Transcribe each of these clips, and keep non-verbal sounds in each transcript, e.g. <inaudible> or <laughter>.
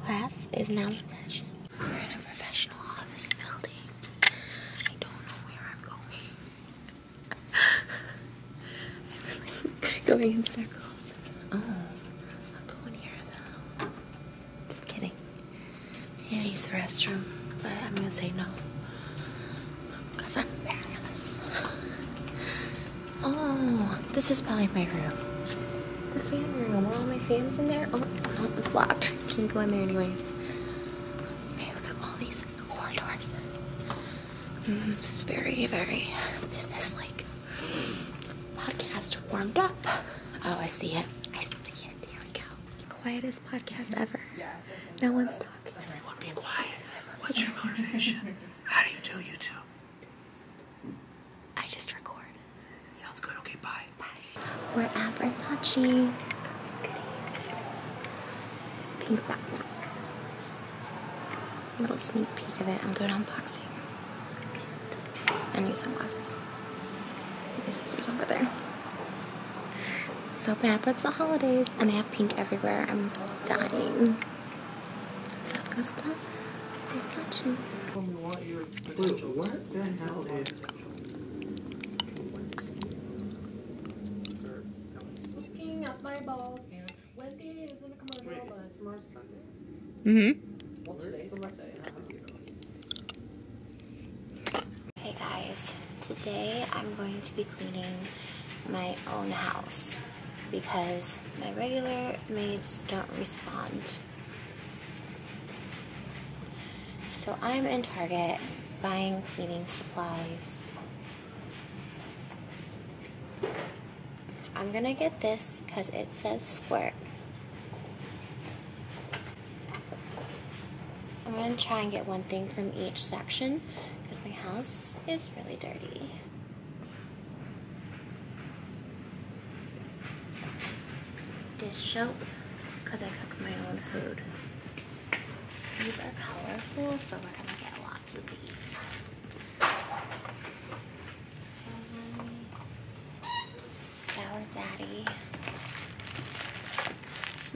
Class is now in session. We're in a professional office building. I don't know where I'm going. I <laughs> am going in circles. Oh, I'll go in here though. Just kidding. i use the restroom, but I'm gonna say no. Because I'm fabulous. Oh, this is probably my room. The fan room. Are all my fans in there? Oh, it's locked. <laughs> Can't go in there anyways. Okay, look at all these corridors. Mm, this is very, very business-like. Podcast warmed up. Oh, I see it. I see it. There we go. Quietest podcast ever. No one's talking. Everyone be quiet. What's your motivation? How do you do YouTube? I just record. Sounds good. Okay, bye. Bye. We're at Versace. It's pink backpack. Little sneak peek of it. I'll do an unboxing. So And new sunglasses. My sister's over there. So bad, but it's the holidays and they have pink everywhere. I'm dying. South Coast Plaza, Versace. Wait, is... Looking at my balls and Wendy is in a What? Wait, but tomorrow's Sunday? Mm-hmm. Well, today's Hey guys, today I'm going to be cleaning my own house because my regular maids don't respond. So I'm in Target buying cleaning supplies. I'm gonna get this because it says squirt. I'm gonna try and get one thing from each section because my house is really dirty dish soap because I cook my own food. These are colorful, so we're gonna get lots of these. Sour Daddy.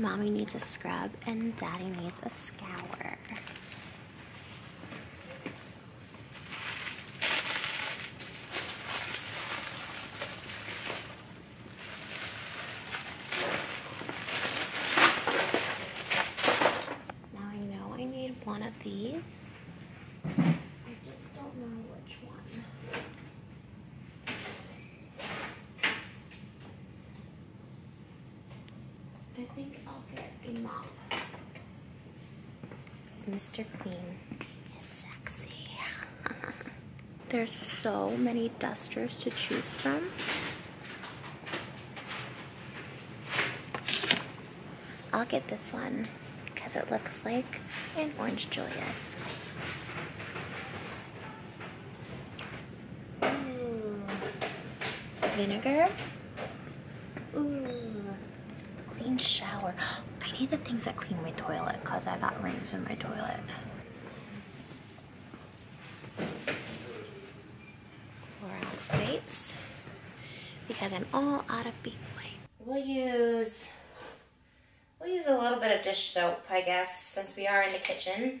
mommy needs a scrub and Daddy needs a scour. Now I know I need one of these. I just don't know which one. I think I'll get a mop. Mr. Queen is sexy. <laughs> There's so many dusters to choose from. I'll get this one because it looks like an Orange Julius. Vinegar. Clean shower. <gasps> I need the things that clean my toilet because I got rings in my toilet. Clorox wipes. Because I'm all out of baby We'll use We'll use a little bit of dish soap, I guess, since we are in the kitchen.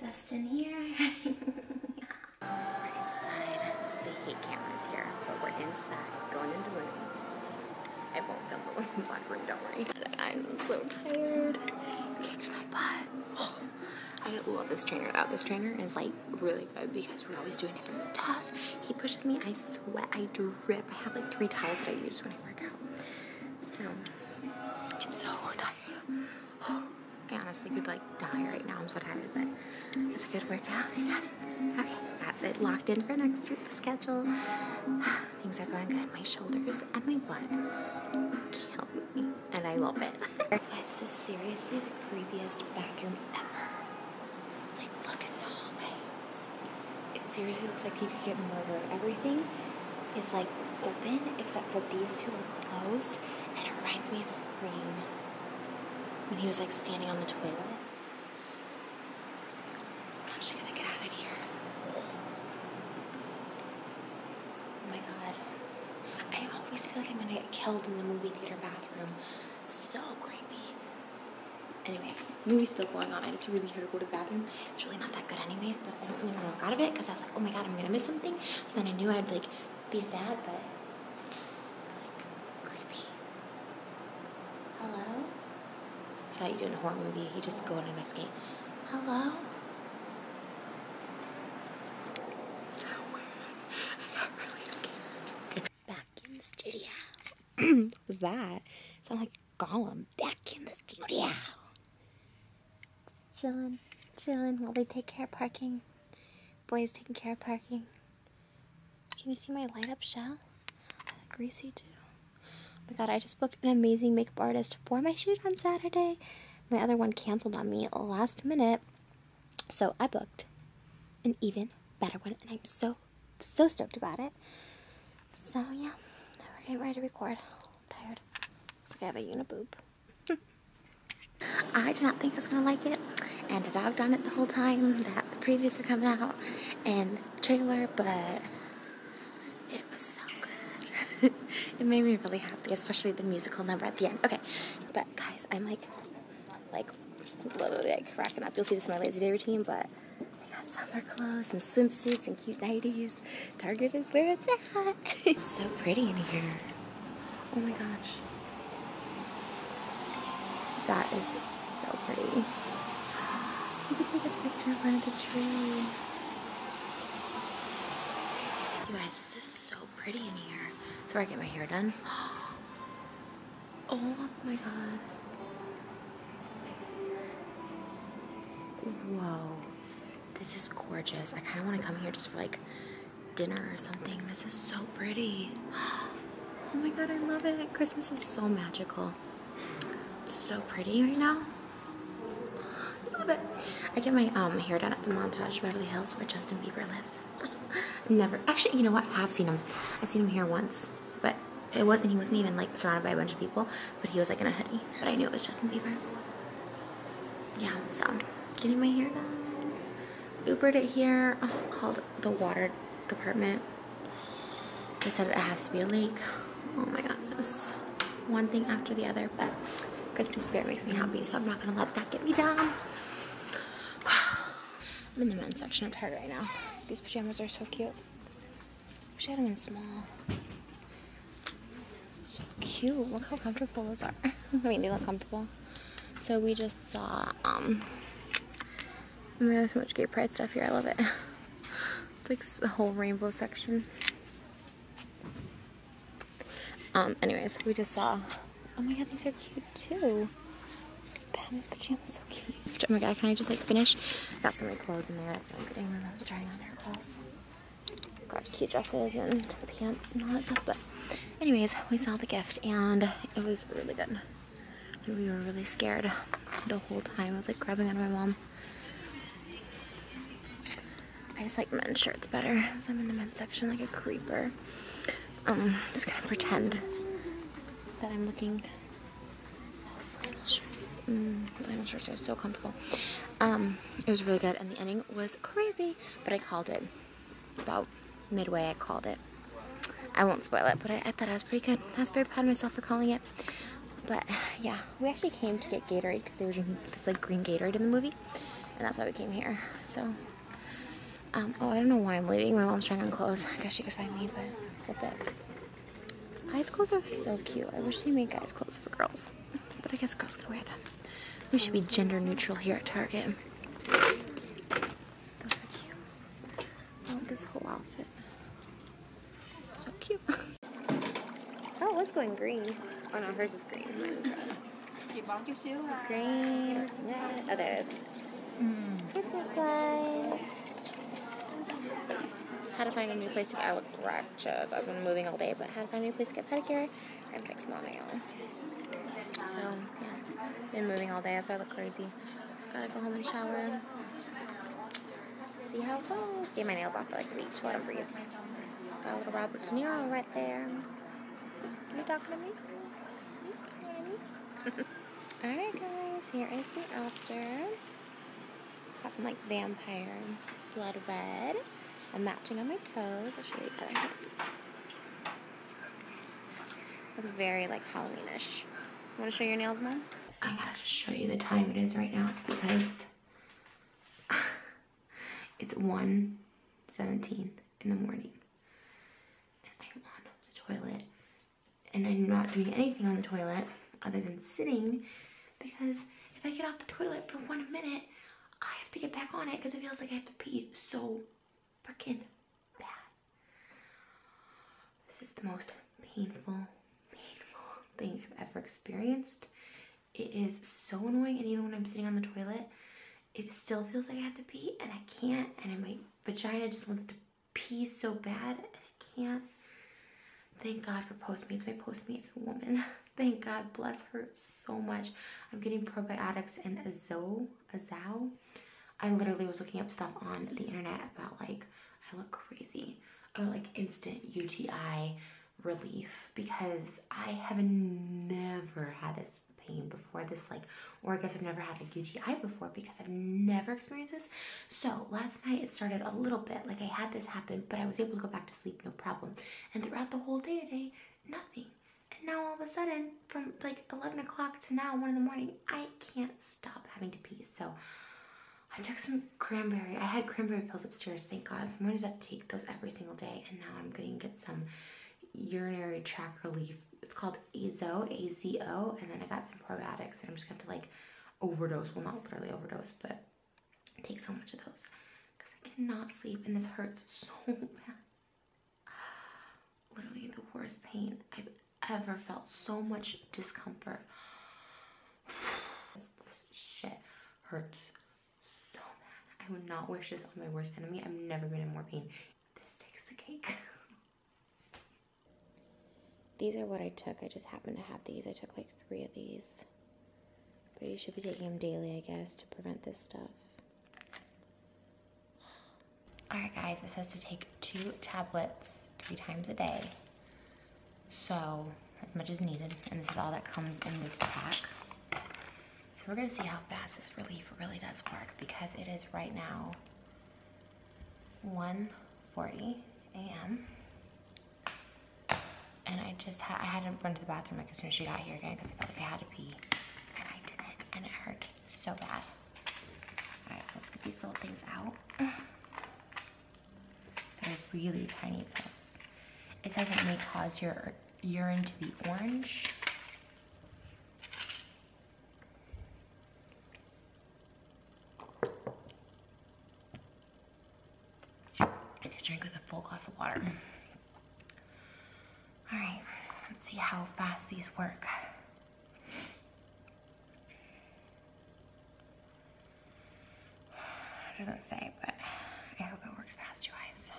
dust in here. we're <laughs> inside. They hate cameras here, but we're inside, going into women's. I won't film the women's locker room, don't worry. I'm so tired. Kicked my butt. Oh, <gasps> I love this trainer Without uh, This trainer it's like really good because we're always doing different stuff. He pushes me, I sweat, I drip. I have like three towels that I use when I work out. So, I'm so tired. Oh, <gasps> I honestly could like die right now. I'm so tired, but it's a good workout, I guess. Okay, got it locked in for next week, the schedule. <sighs> Things are going good. My shoulders and my butt kill me, and I love it. Guys, this is seriously the creepiest bathroom ever. Like, look at the hallway. It seriously looks like you could get murdered. Everything is like open except for these two are closed and it reminds me of Scream when he was like standing on the toilet. I'm actually gonna get out of here. Oh my god. I always feel like I'm gonna get killed in the movie theater bathroom. So creepy. Anyways, movie's still going on. I just really had to go to the bathroom. It's really not that good anyways, I didn't even walk out of it because I was like, oh my god, I'm gonna miss something. So then I knew I'd like be sad, but like creepy. Hello? That's how you do in a horror movie. You just go and investigate. Hello? Back in the studio. <clears throat> What's that? Sound like Gollum back in the studio. Chillin', chillin' while they take care of parking. Boys taking care of parking. Can you see my light up shell? I look greasy too. Oh my god, I just booked an amazing makeup artist for my shoot on Saturday. My other one canceled on me last minute. So I booked an even better one and I'm so, so stoked about it. So yeah, we're getting ready to record i tired. Looks like I have a uniboob. <laughs> I did not think I was going to like it, and I dogged done it the whole time that the previews were coming out and the trailer, but it was so good. <laughs> it made me really happy, especially the musical number at the end. Okay, but guys, I'm like, like, literally like cracking up. You'll see this in my lazy day routine, but I got summer clothes and swimsuits and cute nighties. Target is where it's at. it's <laughs> so pretty in here. Oh my gosh. That is so pretty. <gasps> You can take a picture in front of the tree. You guys, this is so pretty in here. That's where I get my hair done. <gasps> Oh my god. Whoa. This is gorgeous. I kind of want to come here just for like dinner or something. This is so pretty. <gasps> Oh my god, I love it. Christmas is so magical. so pretty right now. <gasps> I love it. I get my um, hair done at the Montage Beverly Hills where Justin Bieber lives. <laughs> Never. Actually, you know what? I have seen him. I've seen him here once. But it wasn't, he wasn't even like surrounded by a bunch of people but he was like in a hoodie. But I knew it was Justin Bieber. Yeah, so getting my hair done. Ubered it here. Oh, called the water department. They said it has to be a leak. Oh my goodness. One thing after the other, but Christmas spirit makes me happy, so I'm not gonna let that get me down. <sighs> I'm in the men's section. I'm tired right now. These pajamas are so cute. Wish I had them in small. So cute. Look how comfortable those are. <laughs> I mean, they look comfortable. So we just saw, um, oh my god, so much gay pride stuff here. I love it. <laughs> It's like a whole rainbow section. Um, anyways, we just saw, oh my god, these are cute too. Pam's pajamas so cute. Oh my god, can I just like finish? Got so many clothes in there. That's what I'm getting I was trying on Got cute dresses and pants and all that stuff. But anyways, we saw the gift and it was really good. we were really scared the whole time. I was like grabbing on my mom. I just like men's shirts better. I'm in the men's section like a creeper. Um, just gonna pretend that I'm looking flannel shirts. are so comfortable. Um, it was really good, and the ending was crazy, but I called it. About midway, I called it. I won't spoil it, but I, thought I was pretty good. I was very proud of myself for calling it. But yeah, we actually came to get Gatorade because they were drinking this like green Gatorade in the movie, and that's why we came here. So, um, oh, I don't know why I'm leaving. My mom's trying on clothes. I guess she could find me, but flip it. Guys' clothes are so cute. I wish they made guys' clothes for girls. But I guess girls can wear them. We should be gender neutral here at Target. Those this whole outfit. So cute. <laughs> oh, it's going green. Oh no, hers is green. Mine is Green. Yeah. Oh, there it is. Mm. Christmas lights. How to find a new place to get, I look I've been moving all day, but how to find a new place to get pedicure and fix my nail. So, yeah, been moving all day. That's why I look crazy. Gotta go home and shower. See how it goes. Get my nails off for like a week. Let them breathe. Got a little Robert De Niro right there. Are you talking to me? <laughs> Alright guys, here is the after. Got some like vampire blood red. I'm matching on my toes. I'll show you the other Looks very like Halloweenish. Want to show your nails, mom? I gotta just show you the time it is right now because <sighs> it's 1.17 in the morning. toilet and I'm not doing anything on the toilet other than sitting because if I get off the toilet for one minute, I have to get back on it because it feels like I have to pee so freaking bad. This is the most painful, painful <laughs> thing I've ever experienced. It is so annoying and even when I'm sitting on the toilet, it still feels like I have to pee and I can't and my vagina just wants to pee so bad and I can't. Thank God for Postmates. My Postmates woman. <laughs> Thank God. Bless her so much. I'm getting probiotics and azo, azow. I literally was looking up stuff on the internet about like, I look crazy. Or like instant UTI relief because I have never had this pain before. This like or I guess I've never had a UTI before because I've never experienced this. So last night it started a little bit like I had this happen, but I was able to go back to sleep, no problem. And throughout the whole day today, nothing. And now all of a sudden, from like 11 o'clock to now, one in the morning, I can't stop having to pee. So I took some cranberry. I had cranberry pills upstairs, thank God. So I'm gonna just take those every single day. And now I'm gonna get some urinary tract relief. It's called Azo, A-Z-O, and then I got some probiotics, and I'm just going to like overdose. Well, not literally overdose, but take so much of those because I cannot sleep, and this hurts so <laughs> bad. Literally the worst pain I've ever felt. So much discomfort. <sighs> this, shit hurts so bad. I would not wish this on my worst enemy. I've never been in more pain. This takes the cake. <laughs> These are what I took. I just happen to have these. I took like three of these. But you should be taking them daily, I guess, to prevent this stuff. Alright guys, it says to take two tablets three times a day. So, as much as needed. And this is all that comes in this pack. So we're gonna see how fast this relief really does work because it is right now 1.40 a.m. And I just I had to run to the bathroom like as soon as she got here again because I felt like I had to pee. And I didn't, and it hurt so bad. All right, so let's get these little things out. They're really tiny pills. It says it may cause your urine to be orange. I a drink with a full glass of water. All right, let's see how fast these work. doesn't say, but I hope it works fast, you guys.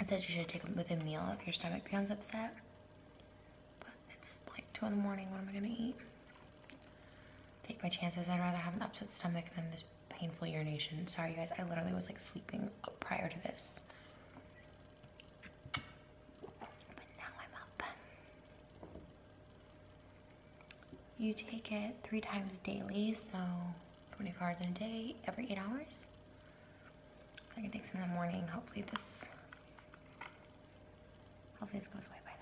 It says you should take them with a meal if your stomach feels upset. But it's like 2 in the morning, what am I going to eat? Take my chances, I'd rather have an upset stomach than this painful urination. Sorry guys, I literally was like sleeping prior to this. But now I'm up. You take it three times daily, so 20 cards a day, every eight hours. So I can take some in the morning. Hopefully this, hopefully this goes away by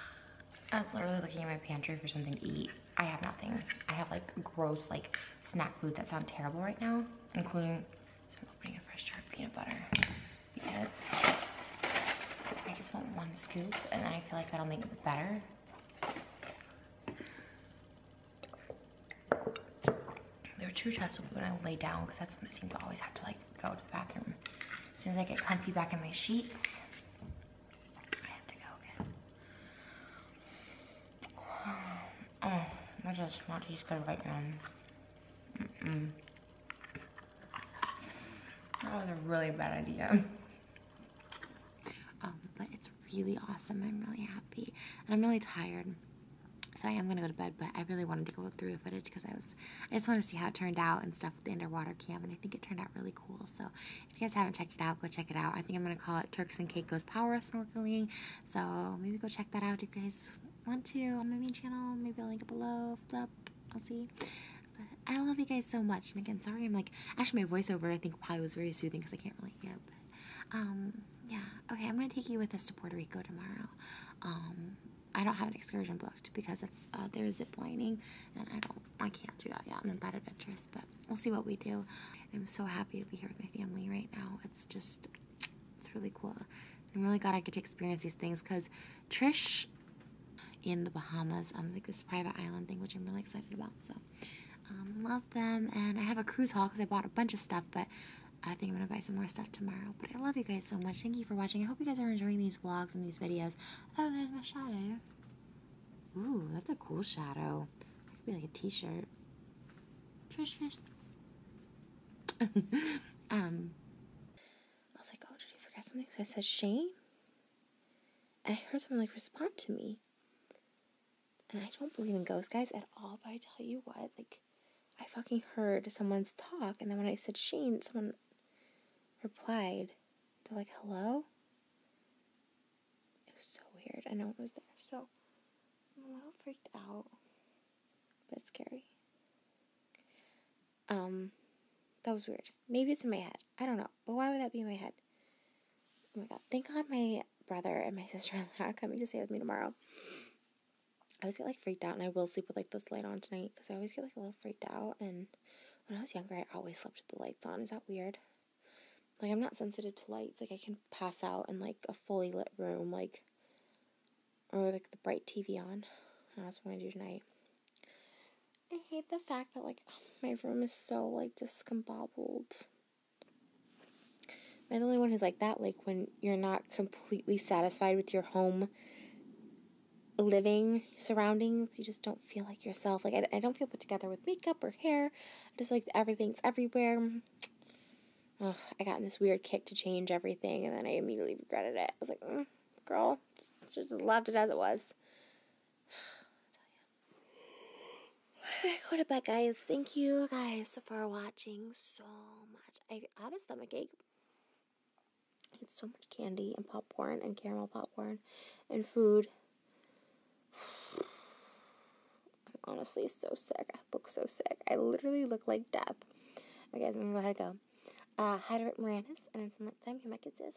then. I was literally looking in my pantry for something to eat. I have nothing. I have like gross like snack foods that sound terrible right now, including, opening a fresh jar of peanut butter because I just want one scoop and then I feel like that'll make it better. There are two chats when I lay down because that's when I seem to always have to like go to the bathroom. As soon as I get comfy back in my sheets, I have to go again. Um, oh, that does not just good right now. That was a really bad idea. Um, but it's really awesome. I'm really happy. And I'm really tired. So I am gonna go to bed, but I really wanted to go through the footage because I was, I just want to see how it turned out and stuff with the underwater cam, and I think it turned out really cool. So if you guys haven't checked it out, go check it out. I think I'm gonna call it Turks and Caicos Power Snorkeling. So maybe go check that out if you guys want to on my main channel. Maybe I'll link it below. If up, I'll see. But I love you guys so much. And again, sorry I'm like, actually my voiceover I think probably was very soothing because I can't really hear. But um, yeah. Okay, I'm gonna take you with us to Puerto Rico tomorrow. Um, I don't have an excursion booked because it's uh, there's zip lining, and I don't, I can't do that yet. I'm not that adventurous, but we'll see what we do. I'm so happy to be here with my family right now. It's just, it's really cool. I'm really glad I get to experience these things because Trish in the Bahamas on um, like this private island thing, which I'm really excited about. So um, love them, and I have a cruise haul because I bought a bunch of stuff, but I think I'm going to buy some more stuff tomorrow. But I love you guys so much. Thank you for watching. I hope you guys are enjoying these vlogs and these videos. Oh, there's my shadow. Ooh, that's a cool shadow. That could be like a t-shirt. Trish fish. <laughs> um, I was like, oh, did you forget something? So I said, Shane? And I heard someone like respond to me and I don't believe in ghost guys at all, but I tell you what, like, I fucking heard someone's talk, and then when I said Shane, someone replied, they're like, hello? It was so weird, I know it was there, so I'm a little freaked out, but scary. Um, that was weird. Maybe it's in my head. I don't know. But why would that be in my head? Oh my god. Thank God my brother and my <laughs> sister in law are coming to stay with me tomorrow. I always get like freaked out and I will sleep with like this light on tonight because I always get like a little freaked out and when I was younger I always slept with the lights on. Is that weird? Like I'm not sensitive to lights. Like I can pass out in like a fully lit room, like or like the bright TV on. that's what I'm gonna do tonight. I hate the fact that like <sighs> my room is so like i Am the only one who's like that? Like when you're not completely satisfied with your home living surroundings, you just don't feel like yourself. Like I, don't feel put together with makeup or hair. I just like everything's everywhere. <sighs> I got in this weird kick to change everything, and then I immediately regretted it. I was like, mm, girl, just loved it as it was. <sighs> I go to bed, guys. Thank you guys for watching so much. I have a stomach ache. I ate so much candy and popcorn and caramel popcorn and food. <sighs> I'm honestly so sick. I look so sick. I literally look like death. Okay, guys, I'm gonna go ahead and go. Uh, hi to Rick Moranis, and until next time, you might get this.